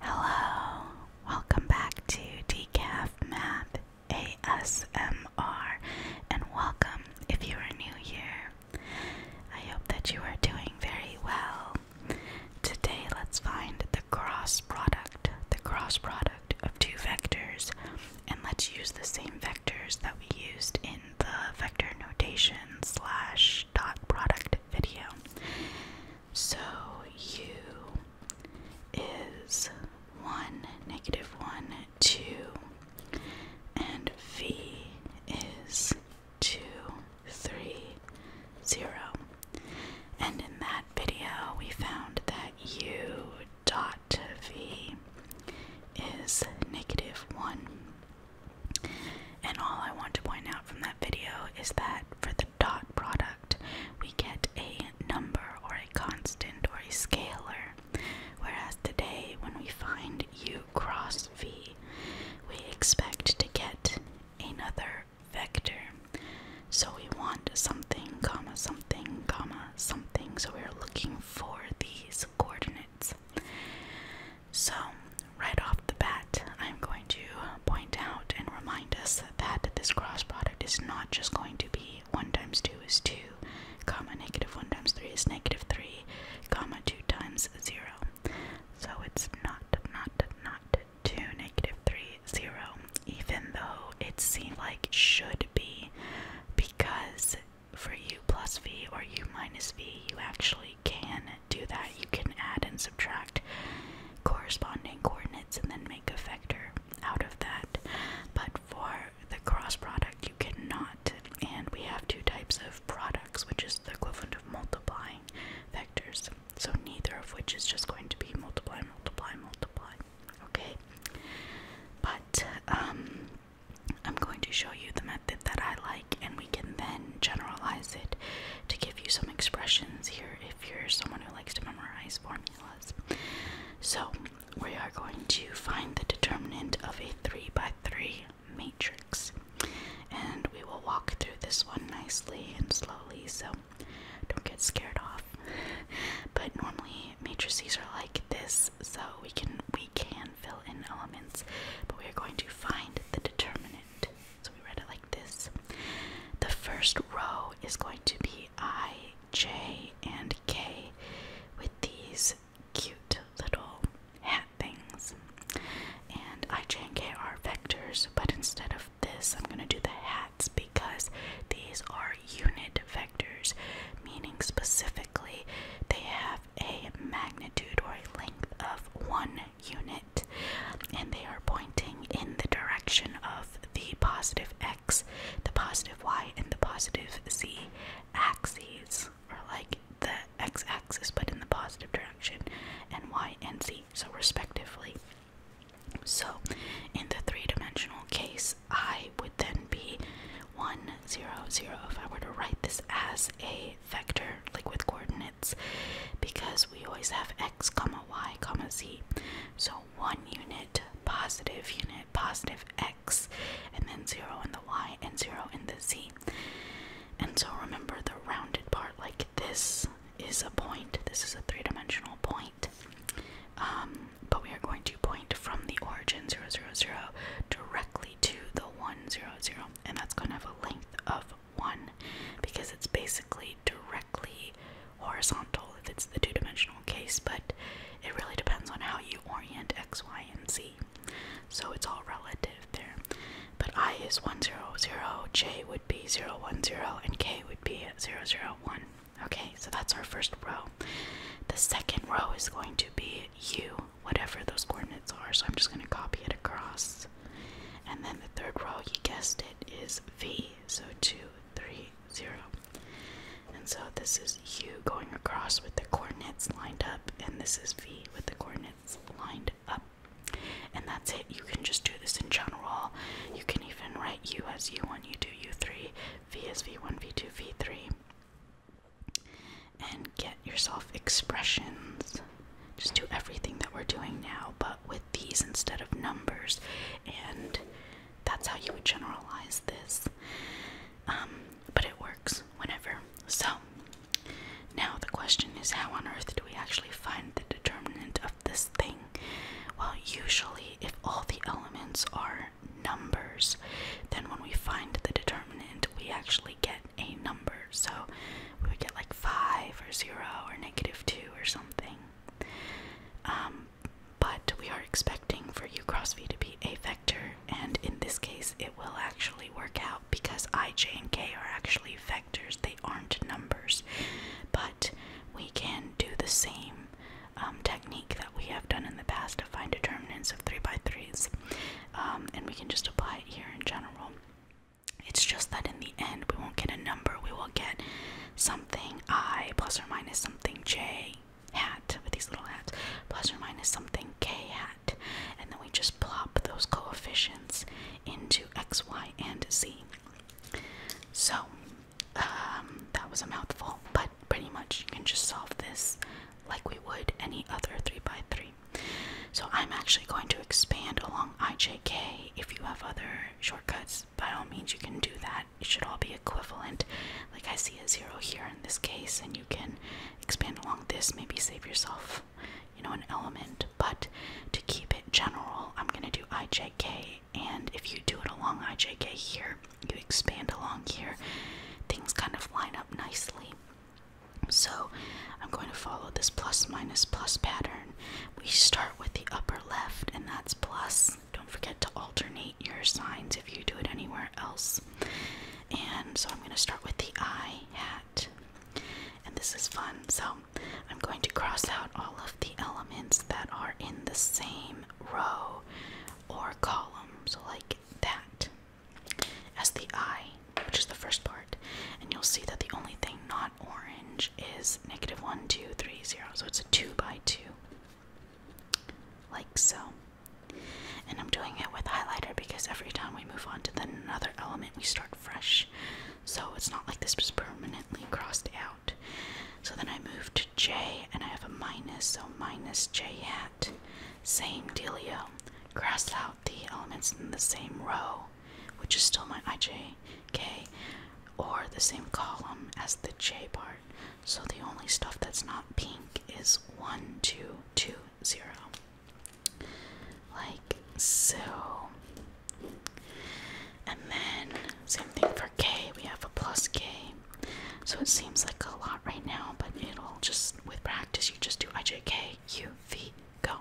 Hello, welcome back to Decaf Math ASMR, and welcome if you are new here. I hope that you are doing very well. Today, let's find the cross product, the cross product of two vectors, and let's use the same vectors that we used in the vector notation slash dot product video. So u is 1, negative 1, 2, and v is 2, 3, 0. And in that video, we found that u dot v is negative 1. And all I want to point out from that video is that for the dot product, we get a number or a constant or a scalar. Whereas today, when we find u cross v, we expect to get another vector. So we want something, comma, something, comma, something. So we're looking for these coordinates. So right off the bat, I'm going to point out and remind us that this cross product is not just going to be 1 times 2 is 2, comma negative 1 times 3 is negative 3, comma 2 times 0. So it's not, not, not 2, negative 3, 0, even though it seemed like it should be, because for u plus v or u minus v, you actually can do that. You can add and subtract corresponding coordinates and then make a vector out of that. But for the cross product, you cannot. And we have two types of products, which is the equivalent of multiplying vectors. So neither of which is just going to be multiply, multiply, multiply. Okay? But um, I'm going to show you the method that I like and we can then generalize it to give you some expressions here if you're someone who likes to memorize formulas. So, we are going to find the determinant of a 3 by 3 matrix. And we will walk through this one nicely and slowly, so don't get scared off. But normally matrices are like this, so we can we can fill in elements, but we are going to find the determinant. So we read it like this. The first row is going to be I, J, and K with these cute little hat things. And I, J, and K are vectors, but instead of this, I'm going to do the hats because these are unit vectors, meaning specifically they have a magnitude or a length of one unit, and they are pointing in the direction of the positive x, the positive y, and the positive z axes, Are like the x axis but in the positive direction, and y and z, so respectively. So, in the three dimensional case, I would then be 1, 0, 0. If I were to write this as a vector, like with coordinates, because we always have x comma y comma z. So one unit, positive unit, positive x, and then zero in the y and zero in the z. And so remember the rounded part, like this is a point, this is a three-dimensional point. Um, but we are going to point from the origin 000 directly to the 100, and that's going to have a length of one because it's basically directly horizontal if it's the two dimensional case, but it really depends on how you orient x, y, and z. So it's all relative there. But i is 1, 0, 0, j would be 0, 1, 0, and k would be 0, 0, 1. Okay, so that's our first row. The second row is going to be u, whatever those coordinates are, so I'm just going to copy it across. And then the third row, you guessed it, is V. So two, three, zero. And so this is U going across with the coordinates lined up, and this is V with the coordinates lined up. And that's it. You can just do this in general. You can even write U as U1, U2, U3, V as V1, V2, V3, and get yourself expressions just do everything that we're doing now, but with these instead of numbers. And that's how you would generalize this. Um, but it works whenever. So now the question is how on earth do we actually find the determinant of this thing? Well, usually, if all the elements are numbers, then when we find the determinant, we actually get a number. So we would get like 5 or 0 or negative 2 or something. Um, but we are expecting for u cross v to be a vector, and in this case, it will actually work out because i, j, and k are actually vectors, they aren't numbers. But we can do the same um, technique that we have done in the past to find determinants of 3 by 3s, um, and we can just apply it here in general. It's just that in the end, we won't get a number, we will get something i plus or minus something j hat with these little hats plus or minus something k hat, and then we just plop those coefficients into x, y, and z. So, um, that was a mouthful, but pretty much you can just solve this like we would any other 3x3 so I'm actually going to expand along IJK. If you have other shortcuts, by all means you can do that. It should all be equivalent. Like I see a zero here in this case, and you can expand along this, maybe save yourself, you know, an element. But to keep it general, I'm gonna do IJK, and if you do it along IJK here, you expand along here, things kind of line up nicely. So I'm going to follow this plus minus plus pattern. We start with the upper left, and that's plus. Don't forget to alternate your signs if you do it anywhere else. And so I'm going to start with the I hat. And this is fun. So I'm going to cross out all of the elements that are in the same row or column. So, like that as the I, which is the first part, and you'll see that the only thing not orange is negative one, two, three, zero. So it's a 2 by 2. Like so. And I'm doing it with highlighter because every time we move on to the another element, we start fresh. So it's not like this was permanently crossed out. So then I move to J and I have a minus, so minus J hat. Same dealio. Cross out the elements in the same row, which is still my IJK, or the same column as the J part. So the only stuff that's not pink is 1, 2, 2, 0. Like so. And then, same thing for K, we have a plus K. So it seems like a lot right now, but it'll just, with practice, you just do IJK, U, V, go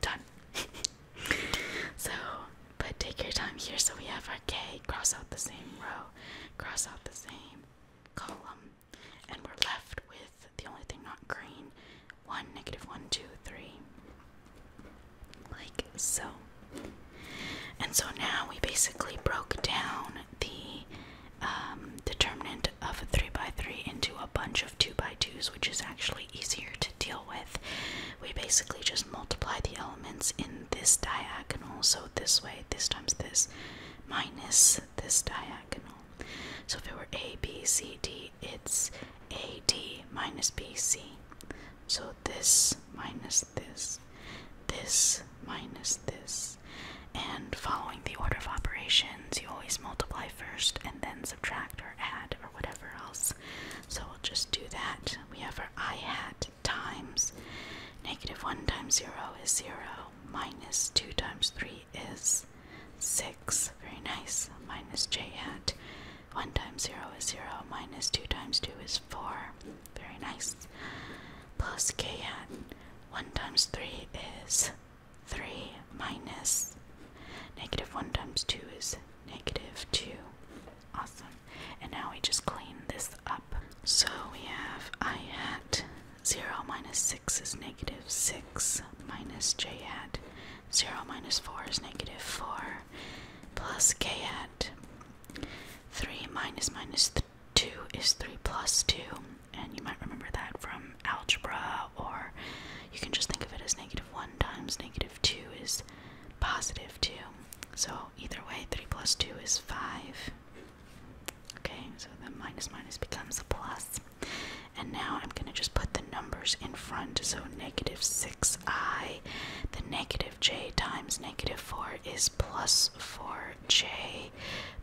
done. so, but take your time here. So we have our K, cross out the same row, cross out the same column, and we're left with the only thing not green 1, negative one, two, three, Like so. And so now we basically broke down the um, determinant of a 3 by 3 into a bunch of 2 by 2s, which is actually easier to deal with. We basically just multiply the elements in this diagonal, so this way, this times this, minus this diagonal. So if it were A, B, C, D, it's A, D minus B, C. So this minus this, this minus this. And following the order of operation, you always multiply first and then subtract or add or whatever else. So we'll just do that. We have our i hat times negative 1 times 0 is 0, minus 2 times 3 is 6. Very nice. Minus j hat. 1 times 0 is 0, minus 2 times 2 is 4. Very nice. Plus k hat. 1 times 3 is 3 minus negative 1 times 2 is negative 2. Awesome. And now we just clean this up. So we have i hat 0 minus 6 is negative 6 minus j hat 0 minus 4 is negative 4 plus k hat 3 2 is 3 plus 2 and you might remember that from algebra, or you can just think of it as negative 1 times negative 2 is positive 2. So either way, 3 plus 2 is 5. Okay, so the minus minus becomes a And now I'm going to just put the numbers in front. So negative 6i, the negative j times negative 4 is plus 4j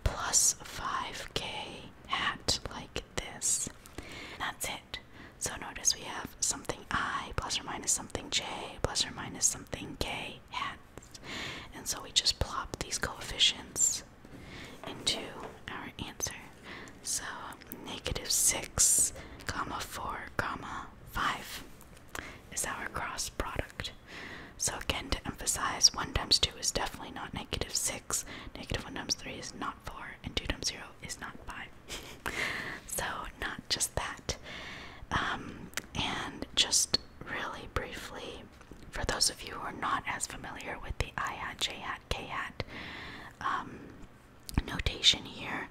plus 5k at like this. That's it. So notice we have something i plus or minus something j plus or minus something k And so we just plop these coefficients into our answer. So negative 6, comma 4, comma 5 is our cross product. So again, to emphasize, 1 times 2 is definitely not negative 6. Negative 1 times 3 is not 4, and 2 times 0 is not 5. so, not just that. Um, and just really briefly, for those of you who are not as familiar with the I hat, J hat, K hat um, notation here,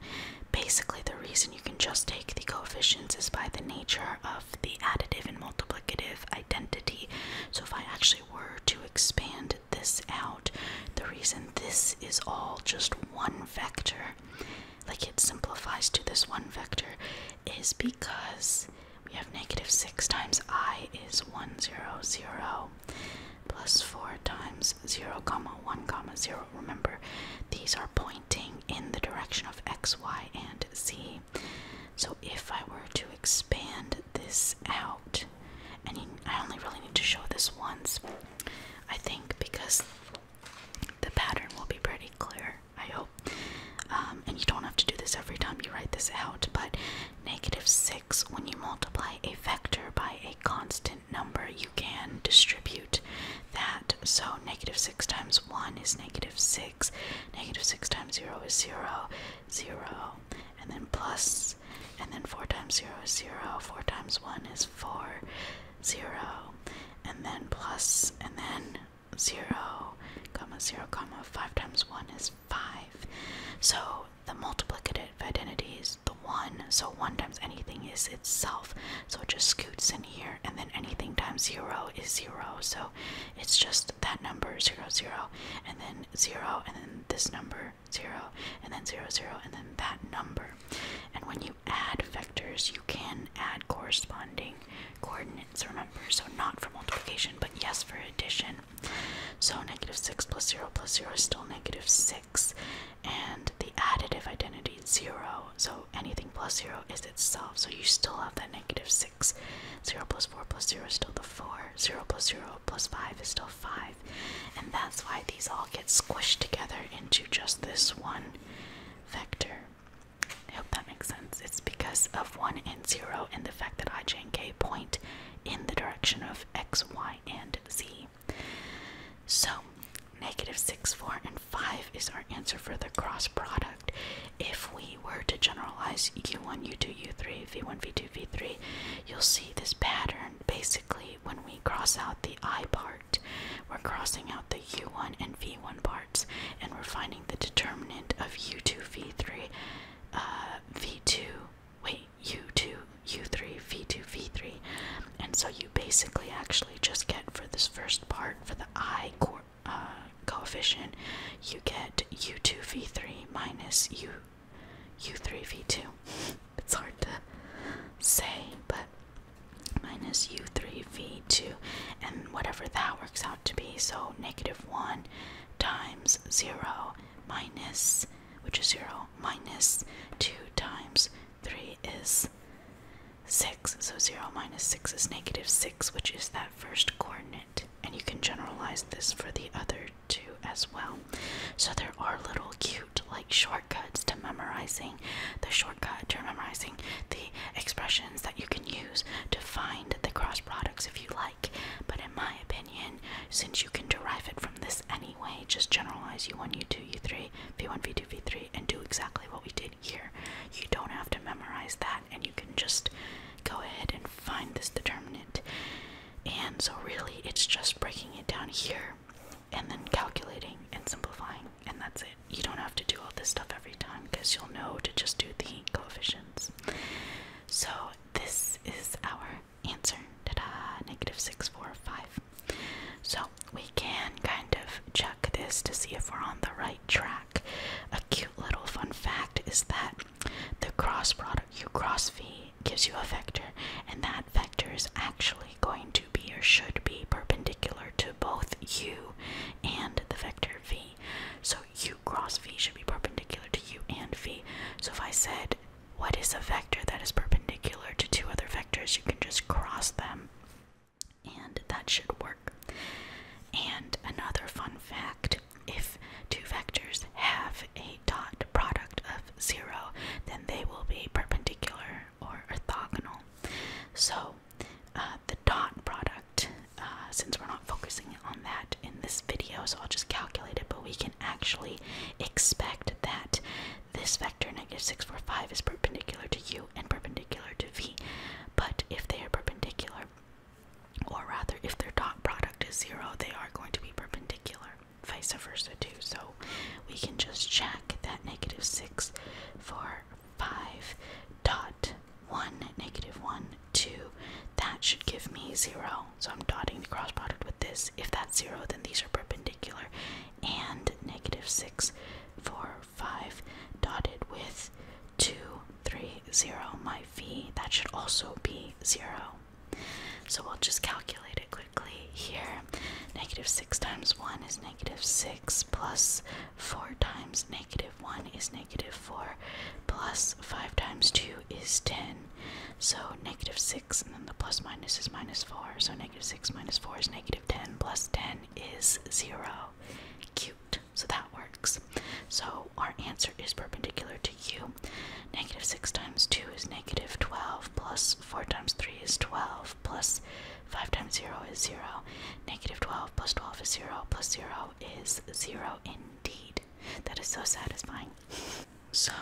basically the reason you can just take the coefficients is by the nature of the additive and multiplicative identity. So if I actually were to expand this out, the reason this is all just one vector, like it simplifies to this one vector, is because we have negative 6 times i is 1, 0, 0, plus 4 times 0, comma 1, comma 0. Remember, these are pointing in the direction of x, y, and z. So if I were to expand this out, and I only really need to show this once, I think because the pattern will be pretty clear, I hope. Um, and you don't have to do this every time you write this out, but negative 6, when you multiply a vector by a constant number, you can distribute that. So negative 6 times 1 is negative 6, negative 6 times 0 is 0, 0, and then plus, and then 4 times 0 is 0, 4 times 1 is 4, 0, and then plus, and then 0, comma 0, comma 5 times 1 is 5. So the multiplicative identity is the 1, so 1 times anything is itself, so it just scoots in here, and then anything times 0 is 0, so it's just that number zero zero and then zero and then this number zero and then zero zero and then that number and when you add vectors you can add corresponding coordinates remember so not for multiplication but yes for addition so negative 6 plus 0 plus 0 is still negative 6 and the additive identity 0 so anything plus 0 is itself so you still have that negative 6 0 plus 4 plus 0 is still the 4. 0 plus 0 plus 5 is still 5. And that's why these all get squished together into just this one vector. I hope that makes sense. It's because of 1 and 0 and the fact that i, j, and k point in the direction of x, y, and z. So, negative 6, 4, and 5 is our answer for the cross product if we were to generalize u1, u2, u3, v1, v2, v3, you'll see this pattern. Basically, when we cross out the i part, we're crossing out the u1 and v1 parts, and we're finding the determinant of u2, v3, v2, wait, u2, u3, v2, v3. And so you basically actually just get for this first part, for the i uh, coefficient, you get u2v3 minus u, u3v2. It's hard to say, but minus u3v2, and whatever that works out to be, so negative 1 times 0 minus, which is 0, minus 2 times 3 is 6. So 0 minus 6 is negative 6, which is that first coordinate. And you can generalize this for the other two as well. So there are little cute, like shortcuts to memorizing the shortcut to memorizing the expressions that you can use to find the cross products if you like. But in my opinion, since you can derive it from this anyway, just generalize u1, u2, u3, v1, v2, v3, and do exactly what we did here. You don't have to memorize that and you can just go ahead and find this determinant. And so really it's just breaking it down here and then calculating and simplifying and that's it. You don't have to do all this stuff every time because you'll know to just do the coefficients. So this is our answer. Ta-da! Negative 645. So we can kind of check this to see if we're on the right track. A cute little fun fact is that the cross product, U cross V, gives you a vector, and that vector is actually going to be or should be perpendicular to both U and the vector V. So U cross V should be perpendicular to U and V. So if I said, what is a vector that is perpendicular to two other vectors, you can just cross them. And that should work. And another fun fact if two vectors have a dot product of zero, then they will be perpendicular or orthogonal. So uh, the dot product, uh, since we're not focusing on that in this video, so I'll just calculate it, but we can actually expect that this vector negative negative six, four, five is perpendicular to u and perpendicular to v. But if they are perpendicular, or rather if their dot product is zero they are going to be perpendicular vice versa too so we can just check that negative 6 for 5 dot 1 negative 1 2 that should give me 0 so i'm dotting the cross product with this if that's 0 then these are perpendicular and negative 6 for 5 dotted with 2 three zero my v that should also be zero so we'll just calculate it quickly here negative six times one is negative six plus four times negative one is negative four plus five times two is ten so negative six and then the plus minus is minus four so negative six minus four is negative ten plus ten is zero cute so that works. So our answer is perpendicular to u. Negative 6 times 2 is negative 12, plus 4 times 3 is 12, plus 5 times 0 is 0. Negative 12 plus 12 is 0, plus 0 is 0 indeed. That is so satisfying. So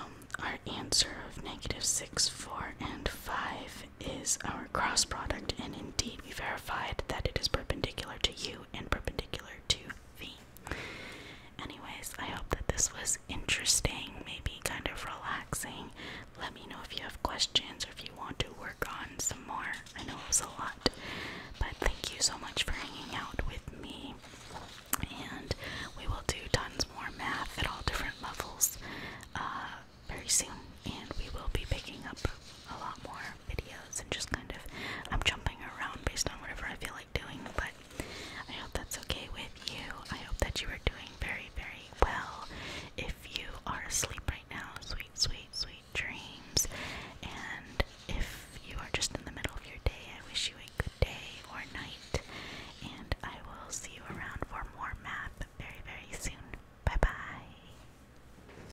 our answer of negative 6, 4, and 5 is our cross product, and indeed we verified that it is perpendicular to u to and perpendicular to V. Anyways, I hope that this was interesting, maybe kind of relaxing. Let me know if you have questions or if you want to work on some more. I know it was a lot, but thank you so much for hanging out with me. And we will do tons more math at all different levels uh, very soon, and we will be picking up a lot more videos and just kind of I'm jumping around based on whatever I feel like doing, but I hope that's okay with you. I hope that you are doing very, very well. If you are asleep right now, sweet, sweet, sweet dreams. And if you are just in the middle of your day, I wish you a good day or night. And I will see you around for more math very, very soon. Bye bye.